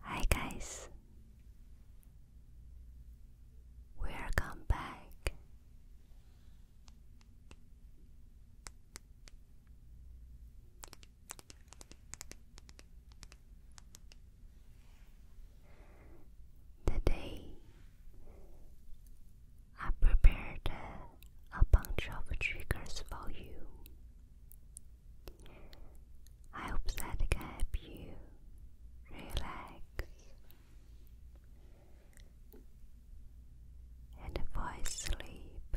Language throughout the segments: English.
Hi guys. Welcome back. Today I prepared a bunch of triggers for you. I hope that I can help you relax. And fall asleep.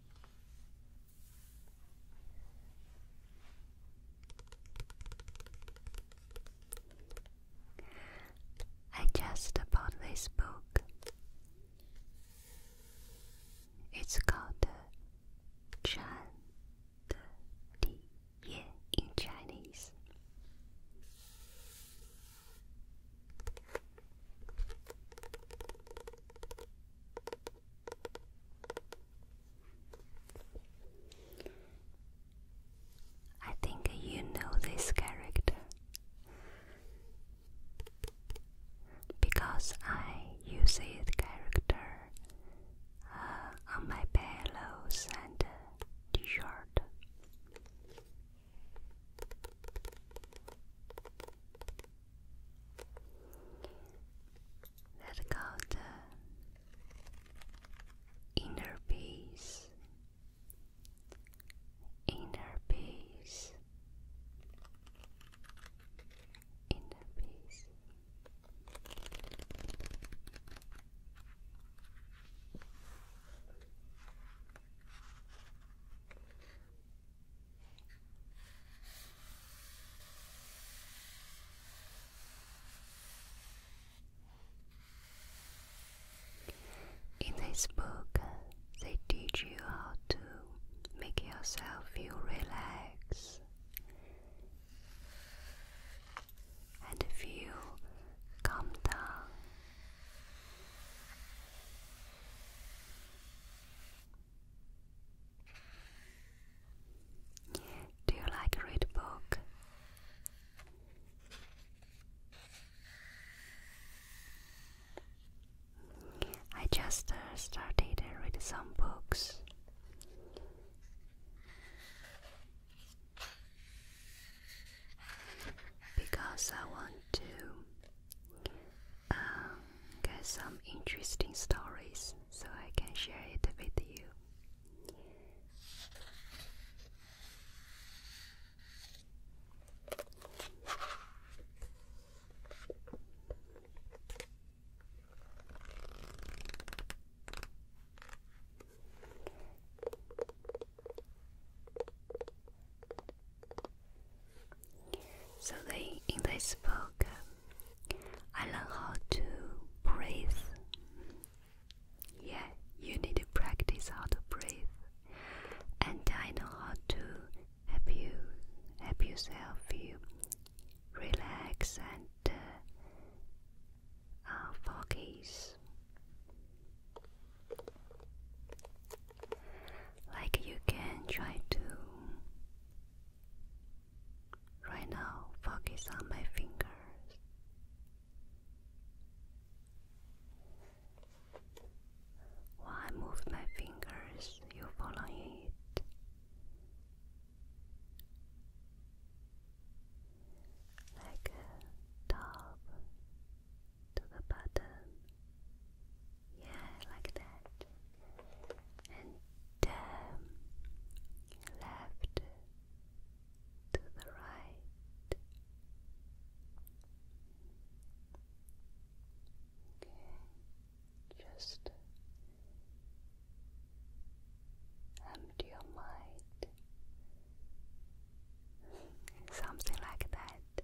I just bought this book. It's called Chan Di Ye in Chinese. I think you know this character because I use it character uh, on my pillows and uh, t-shirt. Let called the inner peace, inner peace, inner peace. In this book, they teach you how to make yourself feel relaxed and feel calm down. Do you like read book? I just uh, started uh, read some books. Because I want to um, got some interesting stories, so I can share it with you. So they in this book I learn how to breathe. Yeah, you need to practice how to breathe. And I know how to help you, help yourself, you relax and uh, uh, Like you can try to Right now, focus on my fingers. While I move my fingers, you follow it. Like top to the bottom, yeah, like that. And um, left to the right. Okay, just empty your mind. Something like that.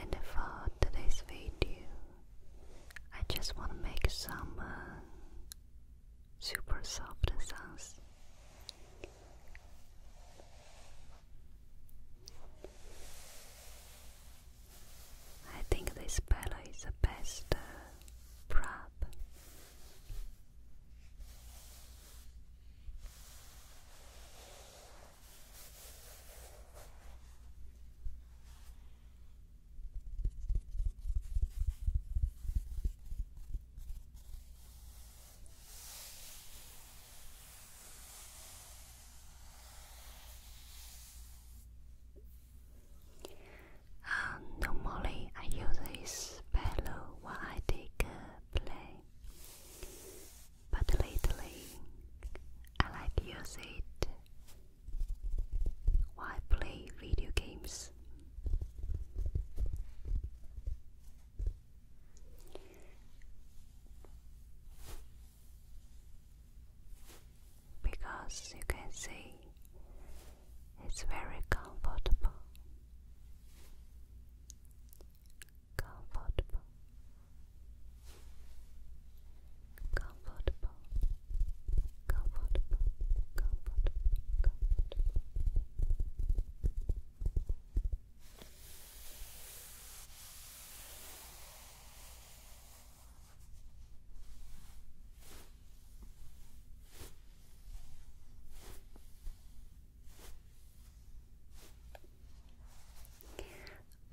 And for uh, today's video, I just want to make some uh, super soft sounds. I think this pillow is the best uh, prop normally, I use this pillow when I take a play, but lately, I like use it while I play video games because you can see it's very comfortable. Comfortable. Comfortable. Comfortable. Comfortable. Comfortable.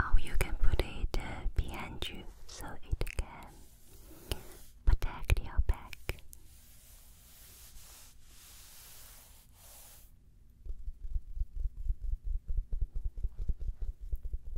Or oh, you can put it uh, behind you so it can protect your back.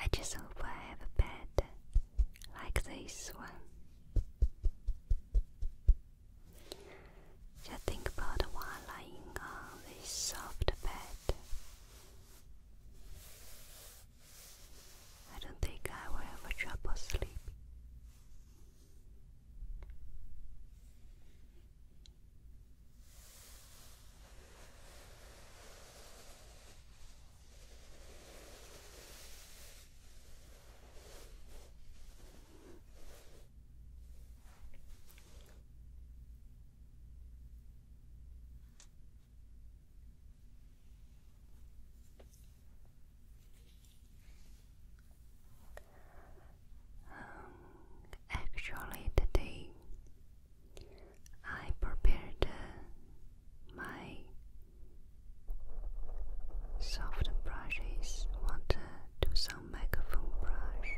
I just hope I have a bed like this one. Just think about while lying on this soft bed. I don't think I will have trouble sleep. Um, actually, today I prepared uh, my soft brushes. Want to do some microphone brush,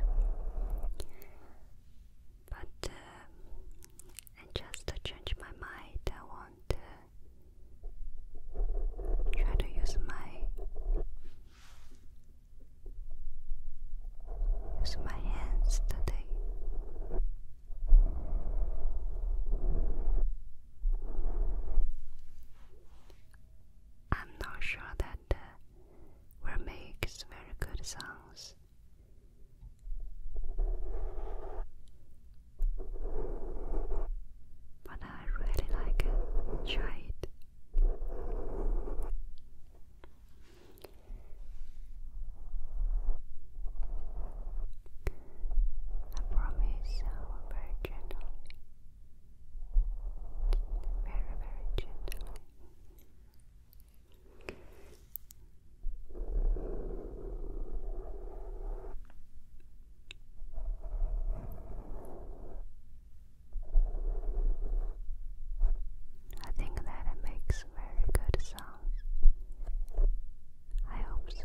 but uh, I just changed my mind. I want to try to use my use my hands today. I'm not sure that the will very good sounds. But I really like Try it. I promise I will very gently, very, very gently. I think that makes very good sounds. I hope so. Okay.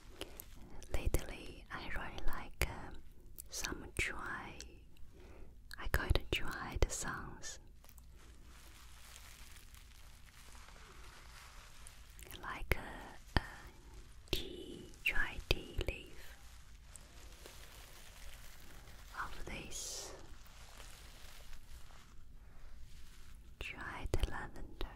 Lately, I really like um, some dry, I call it the songs. Like a, a tea, dry tea leaf. Of this dried lavender.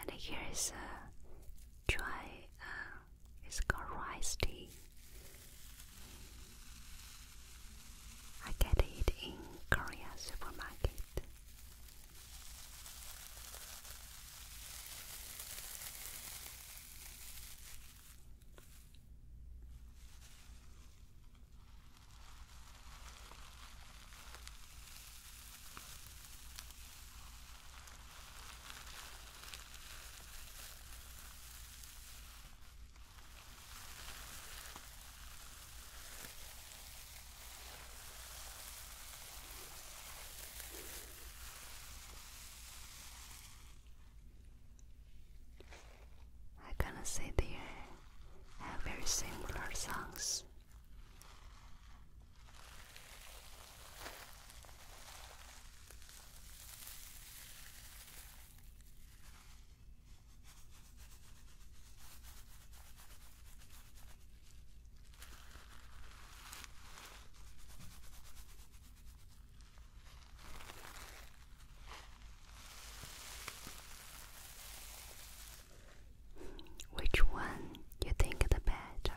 And here is a try uh, it's called rice tea. I get it in Korea supermarket. I gonna say they have very similar songs. Which one you think the better?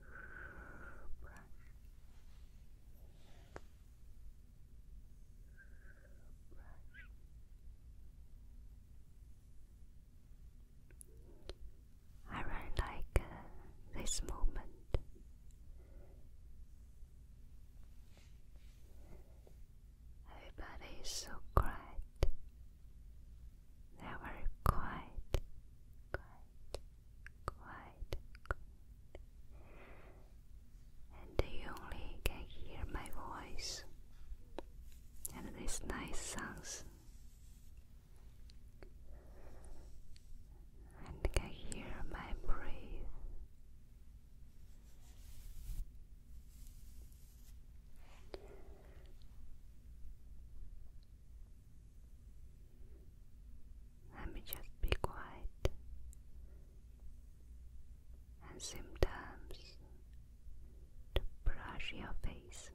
brush. Brush. I really like uh, this moment. Everybody is so quiet. They're very quiet quiet, And you only can hear my voice and these nice sounds. And can hear my breath. Let me just be quiet. And sometimes to brush your face.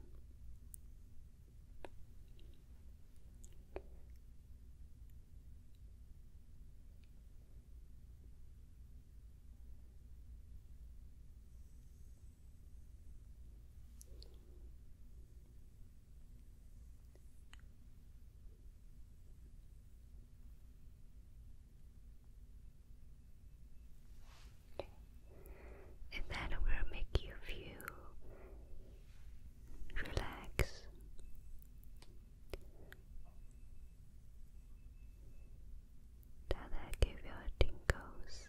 And that will make you feel relaxed. That will give you tingles.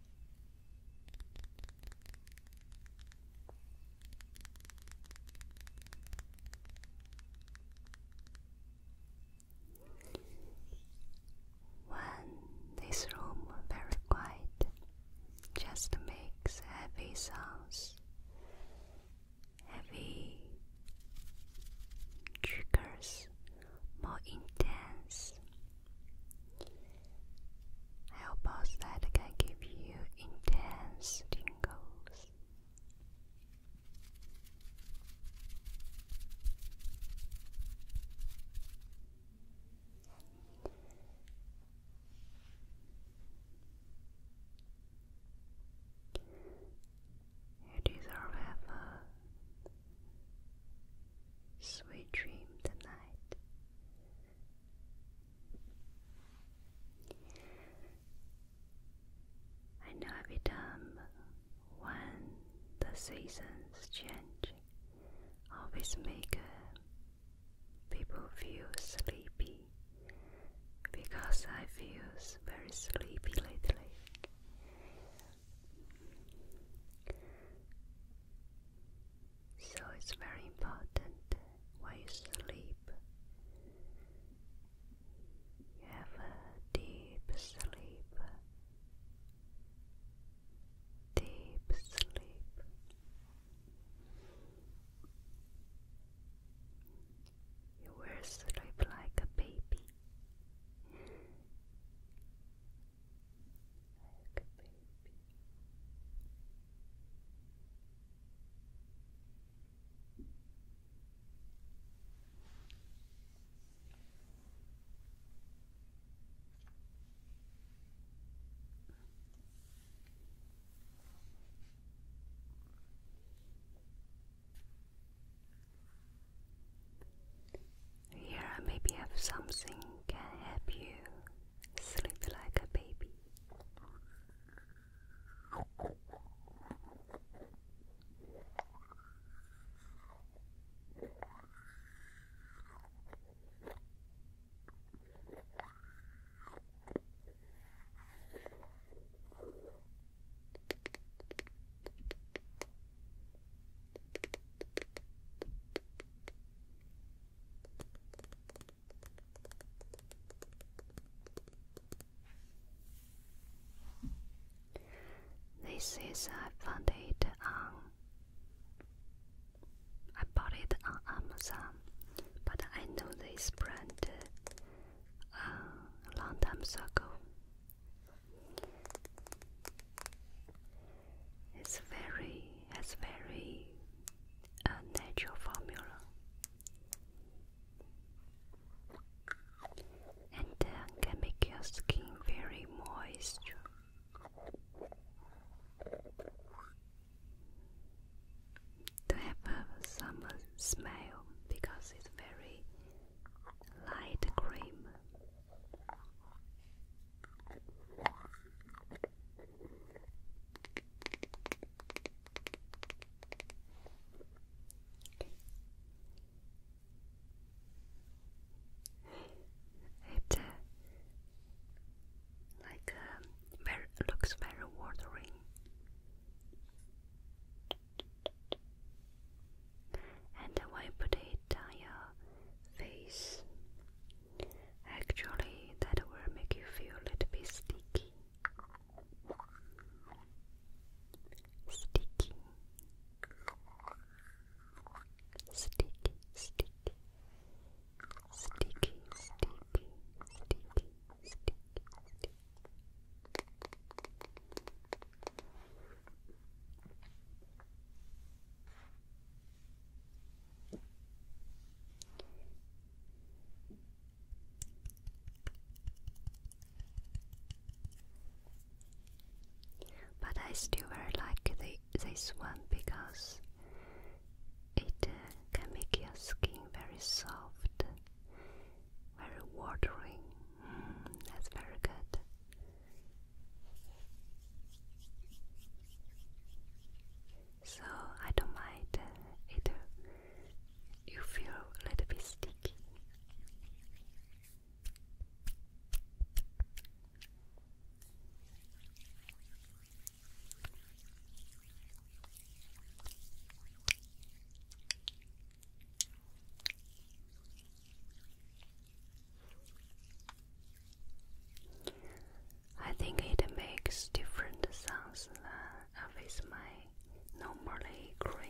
When this room very quiet just makes heavy sounds, heavy triggers more intense I hope also that can give you intense tingles. You deserve heaven. Sweet dream tonight. I know every time when the seasons change, always make people feel sleepy because I feel very sleepy lately. So it's very important when you sleep. You have a deep sleep. Deep sleep. You will sleep like a baby like you, baby. Here I maybe have something can help you sleep like a baby. This is I found it um, on I bought it on Amazon, but I know this brand uh, a it's very, it's very a uh, natural formula. And then can make your skin very moist. To have uh, some smell because it's very light cream. It uh, like um, very, looks very watering and wiped it on your face. Actually, that will make you feel a little bit Sticky, sticky, sticky, sticky, sticky, sticky, sticky. But I still very like the, this one because it uh, can make your skin very soft, very watery. Mm, that's very good. So I don't mind uh, it. Uh, you feel a little bit sticky. I think it makes different sounds than with my normally cream.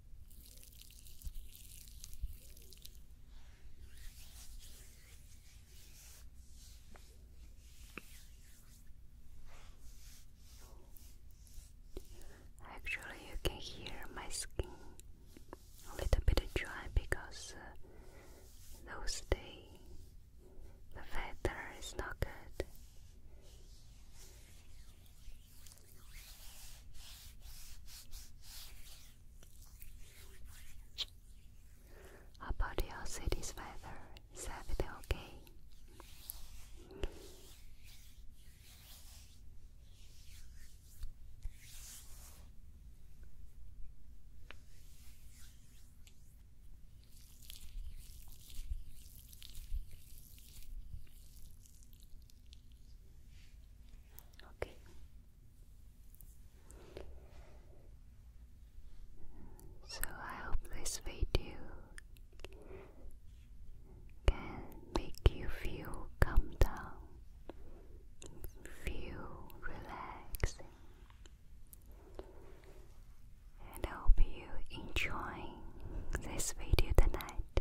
Actually, you can hear my skin a little bit dry because uh, those days the weather is not good. About your city's weather, is everything okay? Okay. So I hope this video can make you feel calm down, feel relaxing. And hope you enjoy this video tonight.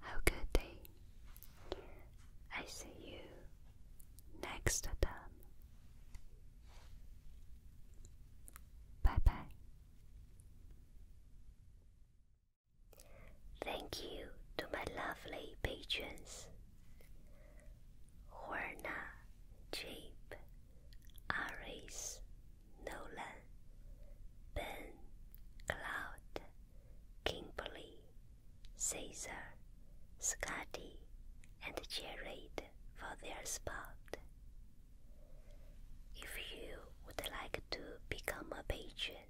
Have good day. I see you next time. Bye bye. Thank you to my lovely patrons Horna, Jeep, Aris, Nolan, Ben, Cloud, Kimberly, Caesar, Scotty, and Jared for their spot. If you would like to become a patron,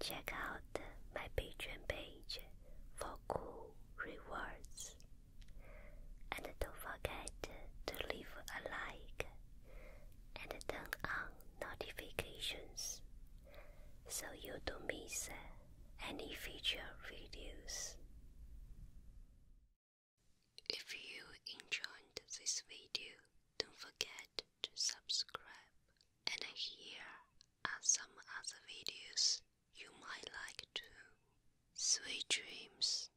check out my Patreon page for cool rewards. And don't forget to leave a like and turn on notifications so you don't miss uh, any future videos. If you enjoyed this video, don't forget to subscribe. And here are some other videos you might like too. Sweet dreams.